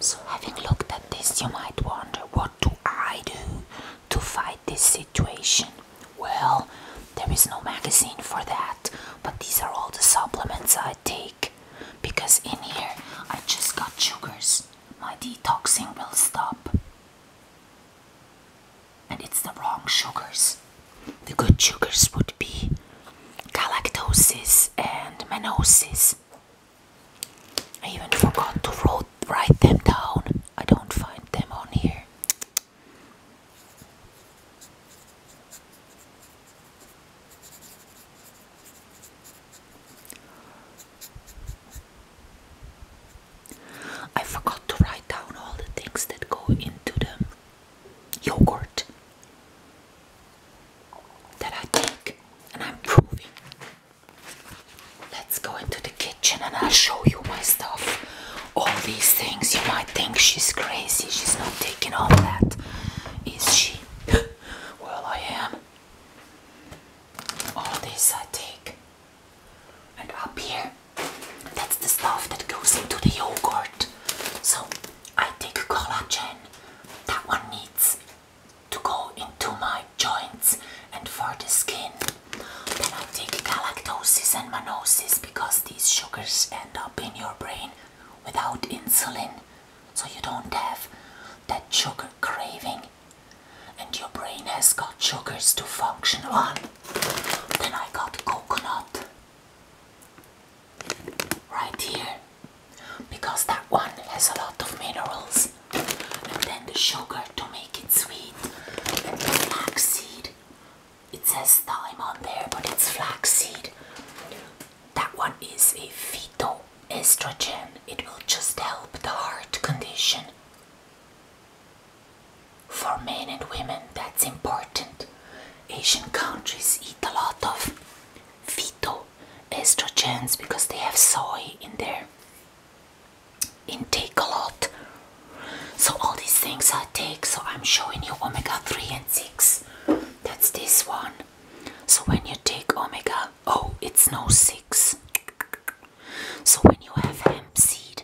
So having looked at this you might wonder what do I do to fight this situation? Well, there is no magazine for that, but these are all the supplements I take because in here I just got sugars. My detoxing will stop. And it's the wrong sugars. The good sugars would be galactosis and menosis, I even forgot to write them down. I don't find them on here. I forgot to write down all the things that go into the yogurt that I take and I'm proving. Let's go into the kitchen and I'll show you my stuff. All these things you might think she's crazy, she's not taking all that, is she? well, I am. All this I take. And up here, that's the stuff that goes into the yogurt. So I take collagen that one needs to go into my joints and for the skin. Then I take galactosis and monosis because these sugars end up in your brain without insulin, so you don't have that sugar craving, and your brain has got sugars to function on. Then I got coconut right here because that one has a lot of minerals and then the sugar to make it sweet and flaxseed it says thyme on there but it's flaxseed that one is a phytoestrogen it will just help the heart condition for men and women that's important asian countries eat a lot of fetal estrogens because they have soy in their intake a lot so all these things i take so i'm showing you omega 3 and 6 that's this one so when you take omega oh it's no 6 so when you have hemp seed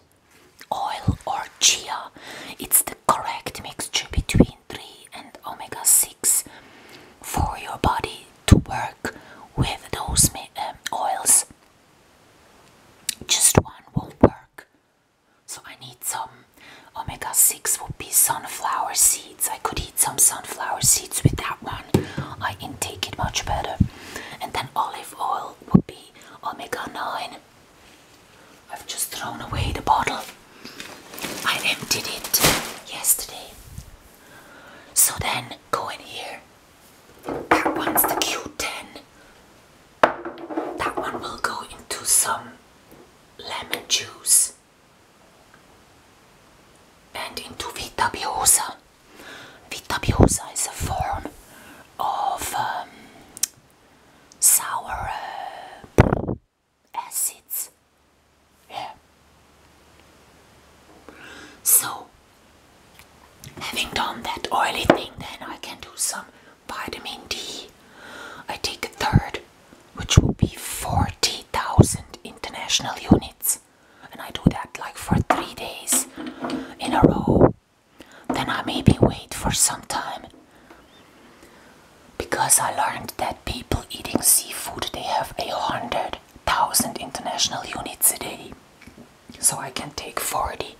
oil or chia. It's the correct mixture between 3 and omega 6 for your body to work with those um, oils. Just one won't work. So I need some omega 6 would be sunflower seeds. I could eat some sunflower seeds with that one. I intake it much better. And then olive oil would be omega 9 I've just thrown away the bottle. I emptied it yesterday. So then go in here. That one's the Q10. That one will go into some lemon juice and into Vita Biosa. Vita Biosa is a form of um, sour uh, acids. Yeah. So, having done that oily thing, then I can do some vitamin D. I take a third, which will be 40,000 international units, and I do that like for three days in a row. Then I maybe wait for some time. Because I learned that people eating seafood they have a hundred thousand international units a day. So I can take forty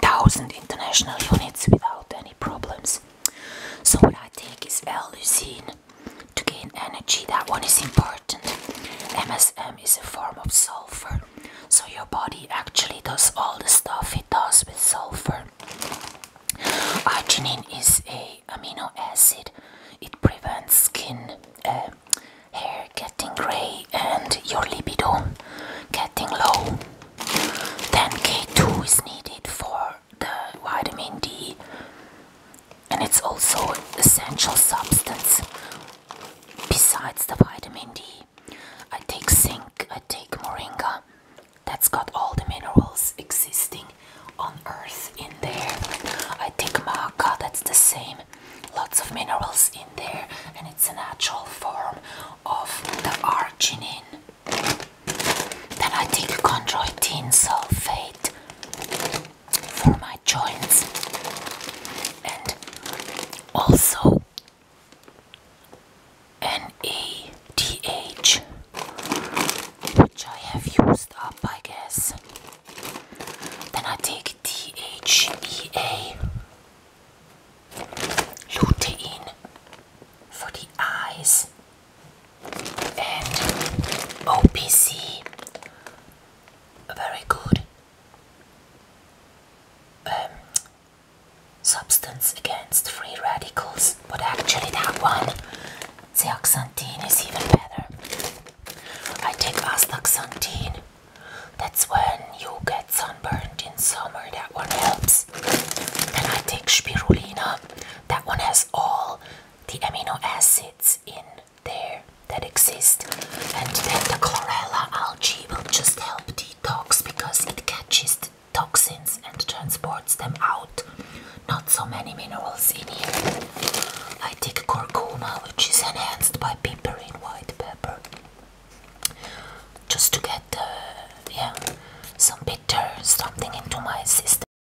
thousand international units without any problems. So what I take is l lysine to gain energy. That one is important. MSM is a form of sulfur so your body actually does all the stuff it does with sulfur. Arginine is a amino acid. It prevents skin, um, hair getting grey and your libido getting low. Then K2 is needed for the vitamin D and it's also an essential substance besides the vitamin D. I take zinc, I take moringa. That's got all the minerals existing on earth in there. I take maca, that's the same. Lots of minerals in there, and it's a natural form of the arginine. Then I take chondroitin sulfate for my joints and also NADH which I have used up I guess then I take DHEA lutein for the eyes and OPC a very good um, substance against free radicals, but actually that one, zeaxanthine, is even better. I take astaxanthine. That's when you get sunburned in summer. That one helps. And I take spirulina. That one has all the amino acids in there that exist and then the chlorella algae will just help detox because it catches the toxins and transports them out not so many minerals in here i take curcuma which is enhanced by piperine white pepper just to get uh, yeah some bitter something into my system